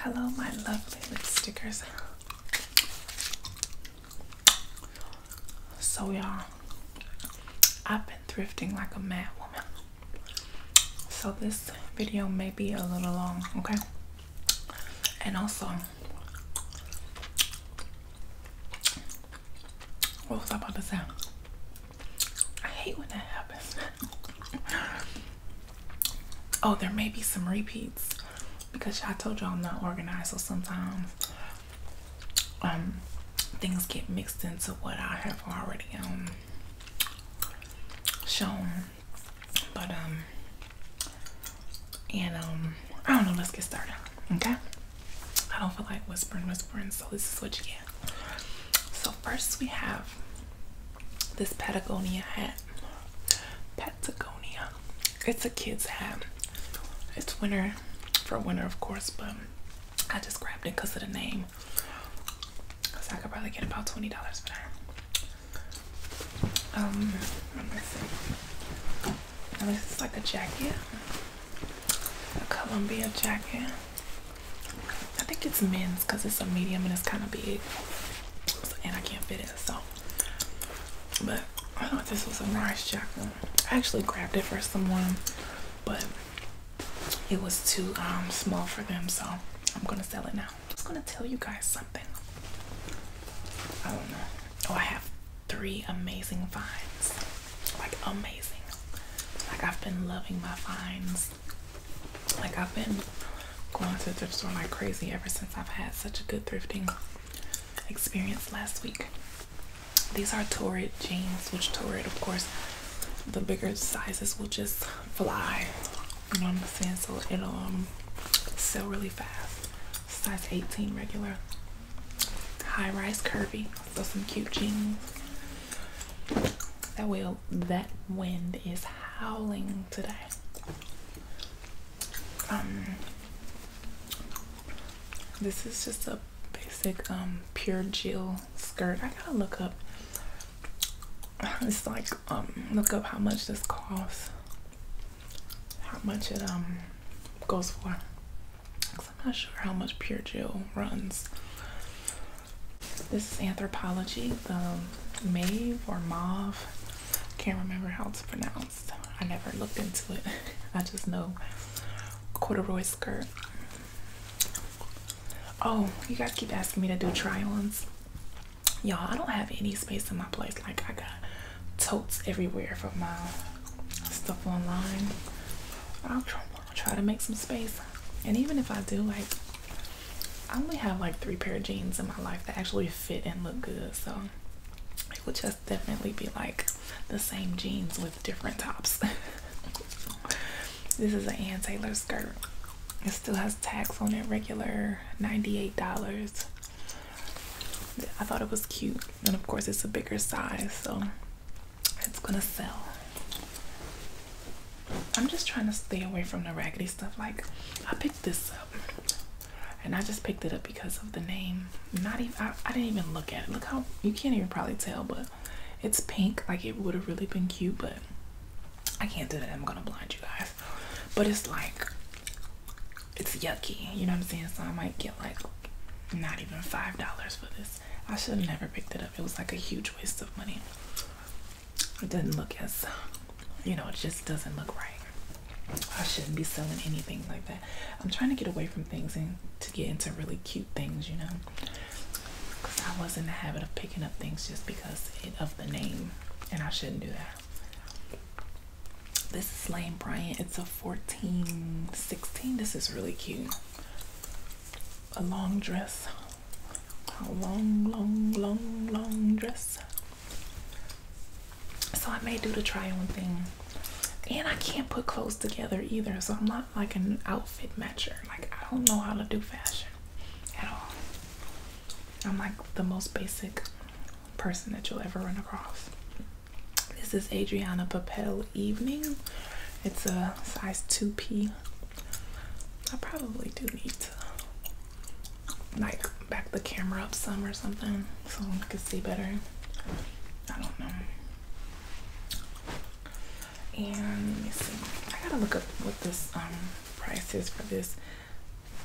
Hello, my lovely lip stickers. So, y'all, I've been thrifting like a mad woman. So, this video may be a little long, okay? And also, what was I about to say? I hate when that happens. oh, there may be some repeats because I told y'all I'm not organized, so sometimes um things get mixed into what I have already um shown. But um and um I don't know, let's get started. Okay. I don't feel like whispering, whispering, so this is what you get. So first we have this Patagonia hat. Patagonia. It's a kid's hat. It's winter for winter of course, but I just grabbed it because of the name. So I could probably get about $20 for that. Um let me see. this is like a jacket. A Columbia jacket. I think it's men's because it's a medium and it's kind of big, and I can't fit it. So, but I thought this was a nice jacket. I actually grabbed it for someone, but it was too um, small for them, so I'm gonna sell it now. I'm just gonna tell you guys something. I don't know. Oh, I have three amazing finds. Like amazing. Like I've been loving my finds like I've been going to thrift store like crazy ever since I've had such a good thrifting experience last week. These are Torrid jeans, which Torrid, of course, the bigger sizes will just fly. You know what I'm saying? So it'll um, sell really fast. Size 18 regular. High rise curvy. So some cute jeans. That will that wind is howling today. Um, this is just a basic um, pure gel skirt. I gotta look up. It's like um, look up how much this costs. How much it um goes for. Cause I'm not sure how much pure gel runs. This is Anthropology, the Mave or Mauve. Can't remember how it's pronounced. I never looked into it. I just know corduroy skirt. Oh, you guys keep asking me to do try-ons. Y'all, I don't have any space in my place. Like I got totes everywhere for my stuff online. I'll try try to make some space. And even if I do, like, I only have like three pair of jeans in my life that actually fit and look good. So it would just definitely be like the same jeans with different tops. this is an Ann Taylor skirt. It still has tax on it, regular $98. I thought it was cute. And of course, it's a bigger size. So it's gonna sell. I'm just trying to stay away from the raggedy stuff. Like I picked this up and I just picked it up because of the name. Not even I, didn't even look at it. Look how you can't even probably tell, but it's pink. Like it would have really been cute, but I can't do that. I'm gonna blind you guys. But it's like it's yucky, you know what I'm saying? So I might get like not even five dollars for this. I should have never picked it up. It was like a huge waste of money. It doesn't look as, you know, it just doesn't look right. I shouldn't be selling anything like that. I'm trying to get away from things and to get into really cute things, you know. Because I was in the habit of picking up things just because of the name, and I shouldn't do that. This is Lane Bryant. It's a 14, 16. This is really cute a long dress. A long, long, long, long dress. So I may do the try on thing. And I can't put clothes together either. So I'm not like an outfit matcher. Like I don't know how to do fashion at all. I'm like the most basic person that you'll ever run across. This is Adriana Papel evening. It's a size 2P. I probably do need to like back the camera up some or something so I can see better. I don't know. And I gotta look up what this um, price is for this.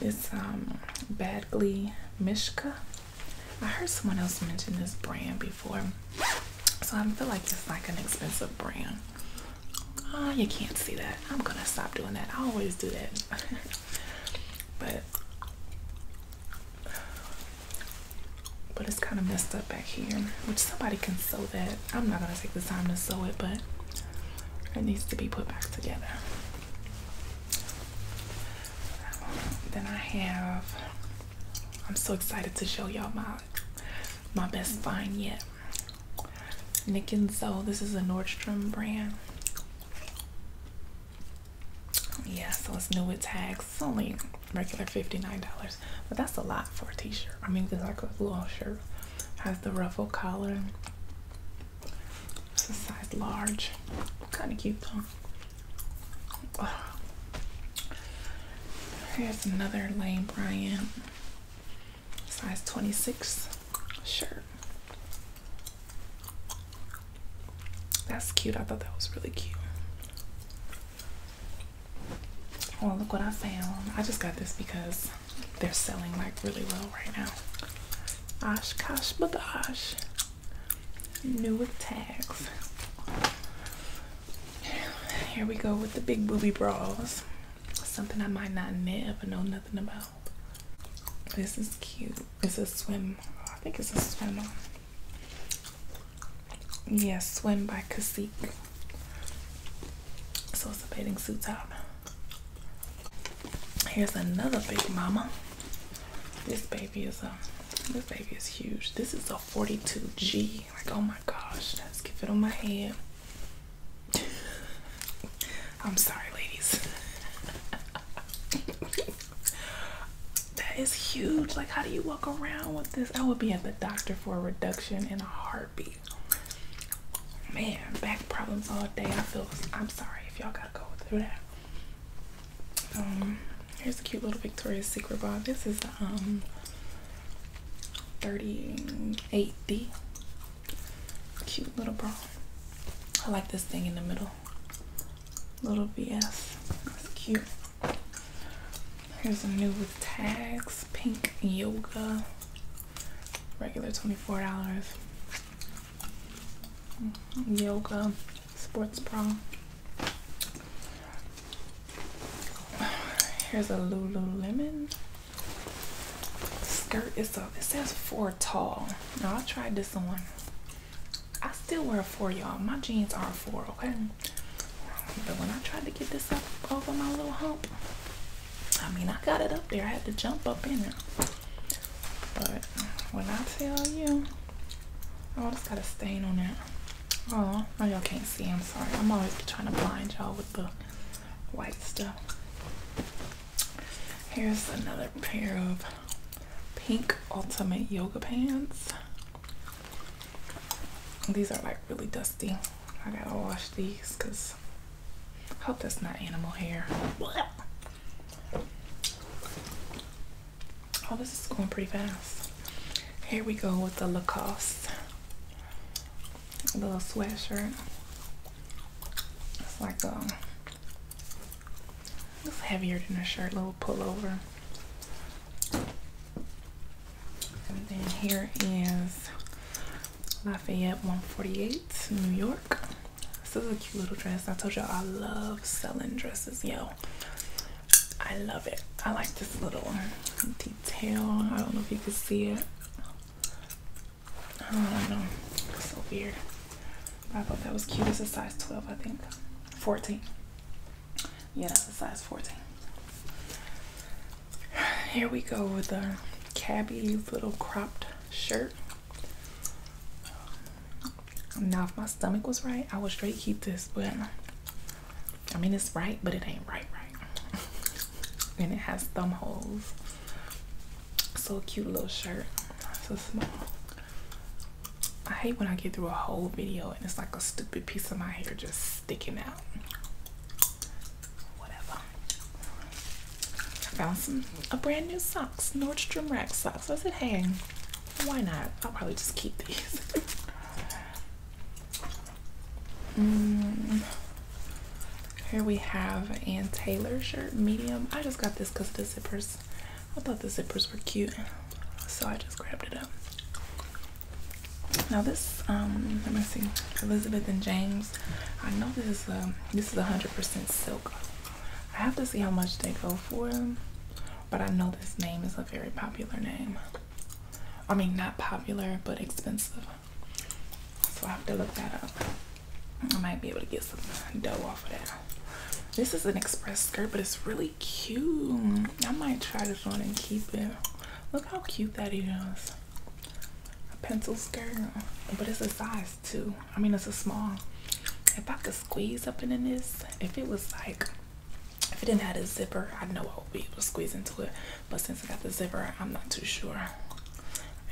It's um, Badgley Mishka. I heard someone else mention this brand before. So I feel like it's like an expensive brand. Oh, you can't see that. I'm gonna stop doing that. I always do that. but but it's kind of messed up back here, which somebody can sew that. I'm not gonna take the time to sew it, but it needs to be put back together. Then I have. I'm so excited to show y'all my my best find yet. Nick and So. This is a Nordstrom brand. Yeah, so it's new with tags. only regular $59, but that's a lot for a t-shirt. I mean, it's like a little shirt. Has the ruffle collar. It's a size large. Kind of cute though. Here's another Lane Bryant size 26 shirt. That's cute. I thought that was really cute. Oh, look what I found. I just got this because they're selling like really well right now. Oshkosh Bagosh. New with tags. Here we go with the big booby bras. Something I might not never know nothing about. This is cute. It's a swim. I think it's a swimmer. Yeah, swim by Cacique. So it's a bathing suit top. Here's another big mama. This baby is a uh, this baby is huge. This is a 42G. Like, oh my gosh, let's give it on my head. I'm sorry, ladies. that is huge. Like, how do you walk around with this? I would be at the doctor for a reduction in a heartbeat. Man, back problems all day. I feel I'm sorry if y'all gotta go through that. Um, here's a cute little Victoria's Secret bra. This is um 38D. Cute little bra. I like this thing in the middle. Little BS. That's cute. Here's a new with tags, pink yoga. Regular $24. Mm-hmm, yoga sports bra. Here's a Lululemon skirt. It's a, it says four tall. Now I tried this on. I still wear a four, y'all. My jeans are four, okay? But when I tried to get this up over my little hump, I mean, I got it up there. I had to jump up in there. But when I tell you, oh, it's got a stain on it. Oh, y'all can't see. I'm sorry. I'm always trying to blind y'all with the white stuff. Here's another pair of pink ultimate yoga pants. These are like really dusty. I gotta wash these because I hope that's not animal hair. Oh, this is going pretty fast. Here we go with the Lacoste little sweatshirt. It's like a um, it's heavier than a shirt, little pullover. And then here is Lafayette 148, New York. This is a cute little dress. I told y'all I love selling dresses, yo. I love it. I like this little detail. I don't know if you can see it. I don't know. It's so weird. I thought that was cute. It's a size 12, I think. 14. Yeah, that's a size 14. Here we go with a Cabby little cropped shirt. Now, if my stomach was right, I would straight keep this, but I mean, it's right, but it ain't right, right. and it has thumb holes. So cute little shirt. So small. I hate when I get through a whole video and it's like a stupid piece of my hair just sticking out. Whatever. I found some a brand new socks, Nordstrom Rack socks. I said, hang? why not? I'll probably just keep these. Mm. Here we have an Taylor shirt, medium. I just got this because of the zippers, I thought the zippers were cute, so I just grabbed it up. Now this, um, let me see, Elizabeth and James. I know this is a this is 100% silk. I have to see how much they go for. But I know this name is a very popular name. I mean, not popular, but expensive. So I have to look that up. I might be able to get some dough off of that. This is an express skirt, but it's really cute. I might try this one and keep it. Look how cute that is. A pencil skirt, but it's a size two. I mean, it's a small. If I could squeeze up into this. If it was like, if it didn't have a zipper, I know I would be able to squeeze into it. But since I got the zipper, I'm not too sure.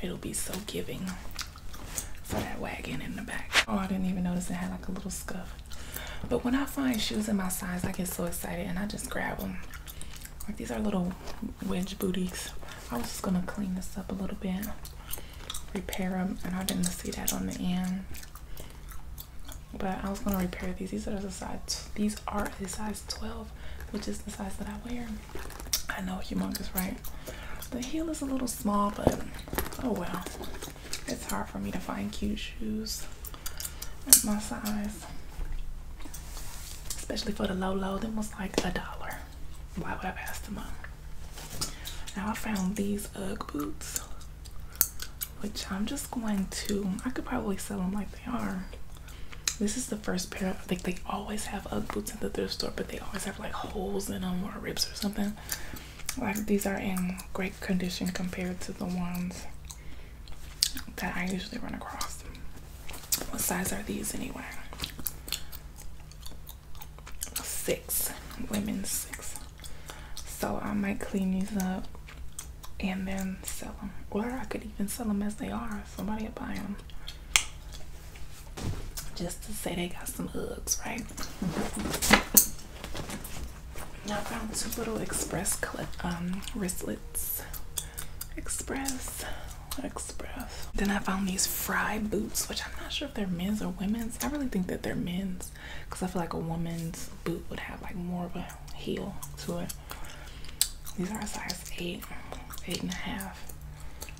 It'll be so giving for that wagon in the back. Oh, I didn't even notice it had like a little scuff. But when I find shoes in my size, I get so excited and I just grab them. Like these are little wedge booties. I was just gonna clean this up a little bit, repair them, and I didn't see that on the end. But I was gonna repair these. These are the size. These are a size 12, which is the size that I wear. I know, humongous, right? The heel is a little small, but oh well. It's hard for me to find cute shoes at my size, especially for the low low. That was like a dollar. Why would I pass them up? Now I found these UGG boots, which I'm just going to, I could probably sell them like they are. This is the first pair, I think they always have UGG boots at the thrift store, but they always have like holes in them or rips or something. Like these are in great condition compared to the ones that I usually run across. What size are these anyway? six women's six so i might clean these up and then sell them or i could even sell them as they are somebody will buy them just to say they got some hugs, right? I found two little express clip, um, wristlets. Express, express. Then I found these fry boots, which I'm not sure if they're men's or women's. I really think that they're men's because I feel like a woman's boot would have like more of a heel to it. These are a size eight, eight and a half.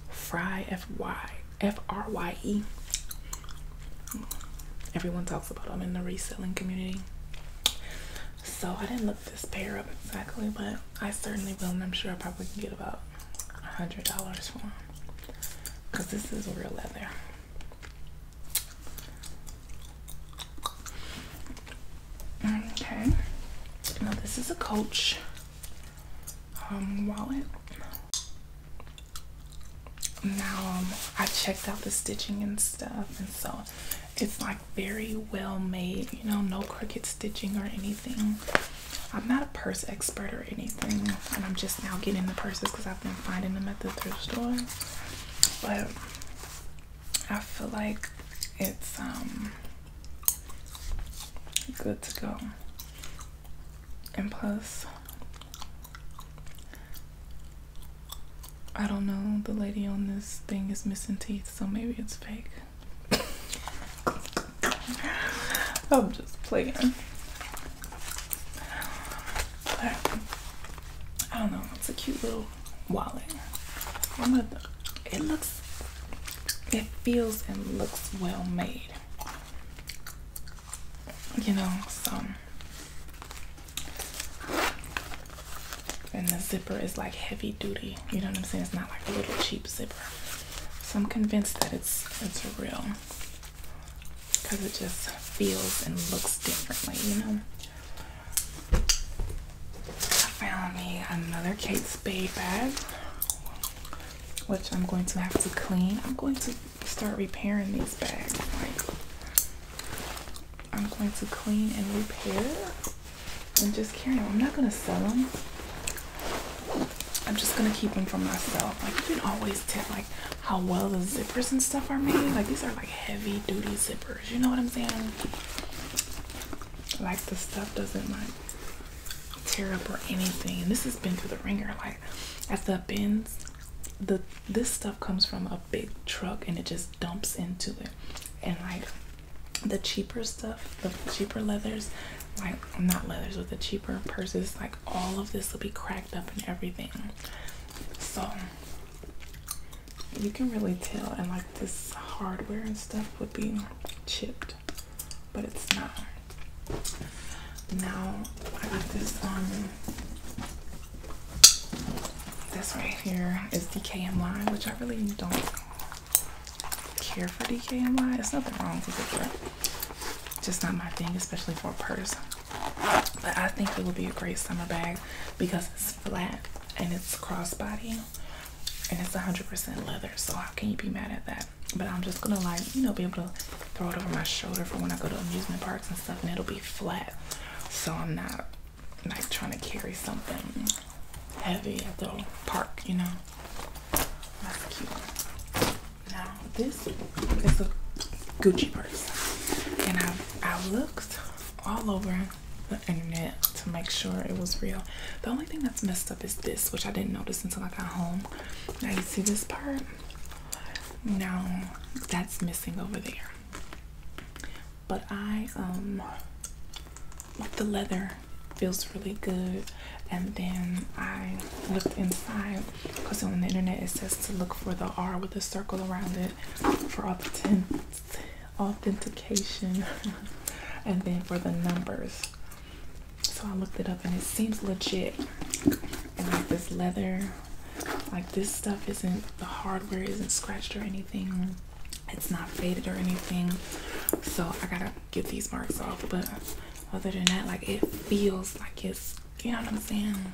Fry F Y F R Y E. Everyone talks about them in the reselling community. So I didn't look this pair up exactly, but I certainly will, and I'm sure I probably can get about a hundred dollars for them because this is real leather. Okay, now this is a Coach um, wallet. Now um, I checked out the stitching and stuff, and so it's like very well made. You know, no crooked stitching or anything. I'm not purse expert or anything, and I'm just now getting the purses because I've been finding them at the thrift store. But I feel like it's um good to go. And plus, I don't know, the lady on this thing is missing teeth, so maybe it's fake. I'm just playing. I don't know. It's a cute little wallet. Oh it looks, it feels and looks well made. You know, so. And the zipper is like heavy duty. You know what I'm saying? It's not like a little cheap zipper. So I'm convinced that it's it's real because it just feels and looks differently, you know. I found me another Kate Spade bag, which I'm going to have to clean. I'm going to start repairing these bags. Like, I'm going to clean and repair and just carry them. I'm not going to sell them. I'm just gonna keep them for myself. Like you can always tell like how well the zippers and stuff are made. Like these are like heavy duty zippers. You know what I'm saying? Like the stuff doesn't like tear up or anything. And this has been through the ringer. Like at the bins, the this stuff comes from a big truck and it just dumps into it. And like the cheaper stuff, the cheaper leathers, like not leathers, with the cheap cheaper purses like all of this will be cracked up and everything so you can really tell and like this hardware and stuff would be chipped but it's not now i got this um this right here is DKMY, which I really don't care for DKMY. It's nothing wrong with it, just not my thing, especially for a purse. But I think it would be a great summer bag because it's flat and it's crossbody and it's 100% leather. So how can you be mad at that? But I'm just gonna like you know be able to throw it over my shoulder for when I go to amusement parks and stuff, and it'll be flat. So I'm not like trying to carry something heavy at the park, you know. That's cute. Now this is a Gucci purse, and I I looked all over the internet to make sure it was real. The only thing that's messed up is this, which I didn't notice until I got home. Now you see this part? No, that's missing over there. But I um like the leather feels really good. And then I looked inside because on the internet it says to look for the R with a circle around it for authentic authentication and then for the numbers. So I looked it up and it seems legit. And like this leather, like this stuff isn't the hardware isn't scratched or anything. It's not faded or anything. So I gotta get these marks off, but other than that, like it feels like it's you know what I'm saying,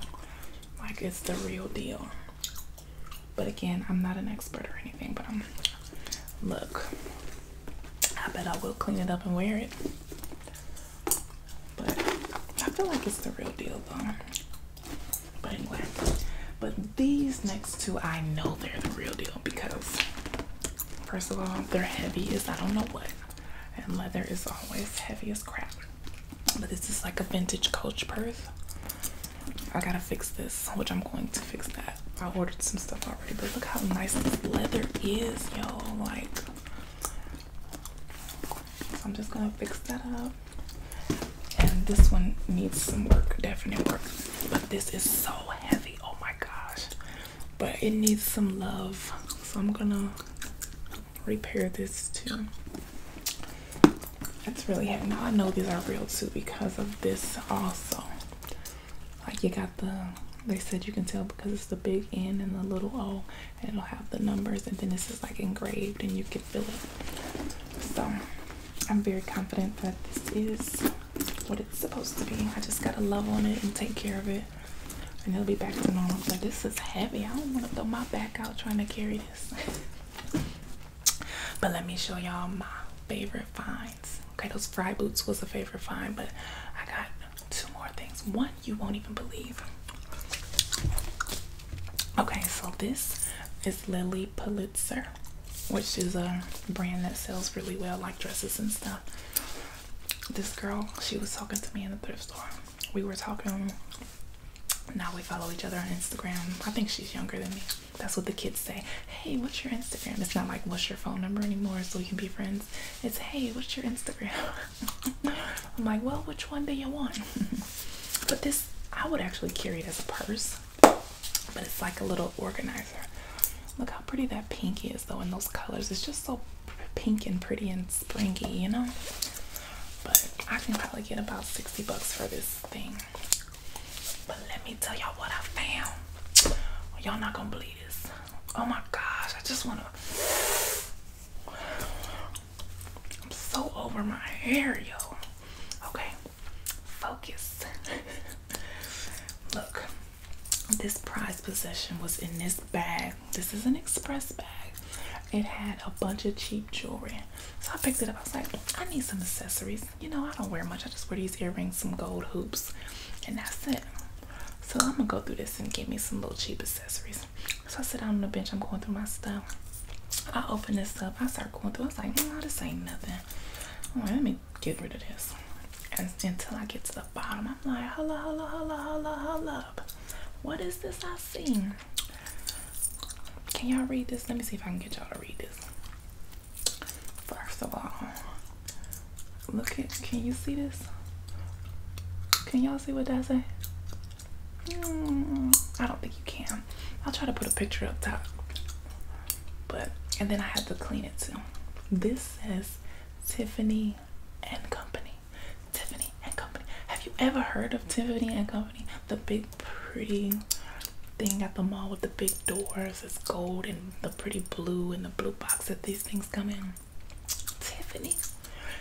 like it's the real deal. But again, I'm not an expert or anything, but I'm look. I bet I will clean it up and wear it. But I feel like it's the real deal though. But anyway. But these next two, I know they're the real deal because first of all, they're heavy as I don't know what and leather is always heavy as crap. But this is like a vintage coach purse. I gotta fix this, which I'm going to fix that. I ordered some stuff already, but look how nice this leather is, y'all! Like, I'm just gonna fix that up. And this one needs some work, definite work. But this is so heavy. Oh my gosh but it needs some love so i'm gonna repair this too that's really heavy now i know these are real too because of this also like you got the they said you can tell because it's the big n and the little o and it'll have the numbers and then this is like engraved and you can feel it so i'm very confident that this is what it's supposed to be i just gotta love on it and take care of it and it'll be back to normal. But this is heavy. I don't want to throw my back out trying to carry this. but let me show y'all my favorite finds. Okay, those fry boots was a favorite find, but I got two more things. One you won't even believe. Okay, so this is Lily Pulitzer, which is a brand that sells really well, like dresses and stuff this girl, she was talking to me in the thrift store. We were talking. Now we follow each other on Instagram. I think she's younger than me. That's what the kids say. Hey, what's your Instagram? It's not like what's your phone number anymore, so we can be friends. It's hey, what's your Instagram? I'm like, well, which one do you want? but this, I would actually carry it as a purse, but it's like a little organizer Look how pretty that pink is though in those colors. It's just so pink and pretty and springy, you know? But I can probably get about 60 bucks for this thing. But let me tell y'all what I found. Y'all not gonna believe this. Oh my gosh, I just wanna I'm so over my hair, yo. Okay, focus. Look, this prize possession was in this bag. This is an express bag. It had a bunch of cheap jewelry. So I picked it up. I was like, I need some accessories. You know, I don't wear much. I just wear these earrings, some gold hoops, and that's it. So I'm gonna go through this and get me some little cheap accessories. So I sit down on the bench, I'm going through my stuff. I open this up, I start going through, I was like, no, this ain't nothing. All right, let get rid of this. And until I get to the bottom, I'm like, holla, holla, holla, holla, holla. What is this I see? Can y'all read this? Let me see if I can get y'all to read this. First of all, look at, can you see this? Can y'all see what that say? Hmm, I don't think you can. I'll try to put a picture up top. But, and then I have to clean it too. This says Tiffany and Company. Tiffany and Company. Have you ever heard of Tiffany and Company? The big pretty thing at the mall with the big doors. It's gold and the pretty blue and the blue box that these things come in. Tiffany.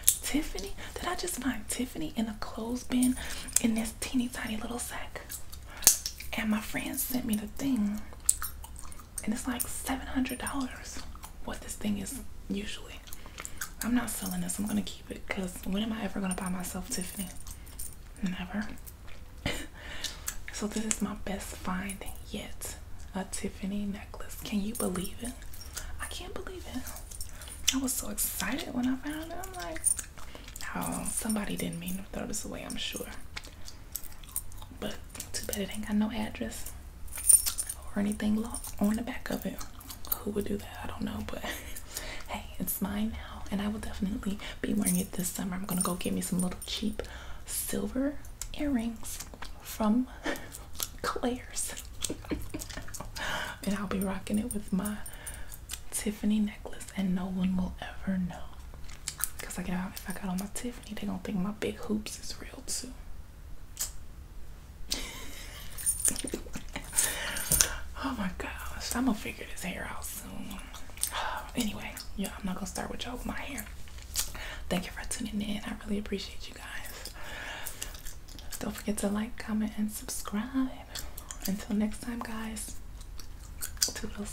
Tiffany? Did I just find Tiffany in a clothes bin in this teeny tiny little sack? And my friend sent me the thing and it's like $700 what this thing is usually i'm not selling this i'm gonna keep it because when am i ever gonna buy myself tiffany never so this is my best find yet a tiffany necklace can you believe it i can't believe it i was so excited when i found it i'm like oh somebody didn't mean to throw this away i'm sure but too bad it ain't got no address or anything on the back of it. Who would do that? I don't know, but hey, it's mine now, and I will definitely be wearing it this summer. I'm gonna go get me some little cheap silver earrings from Claire's, and I'll be rocking it with my Tiffany necklace, and no one will ever know. Cause I if I got on my Tiffany, they gonna think my big hoops is real too. oh my gosh, I'm gonna figure this hair out soon. Anyway, yeah, I'm not gonna start with y'all with my hair. Thank you for tuning in. I really appreciate you guys. Don't forget to like, comment, and subscribe. Until next time, guys. Toodles.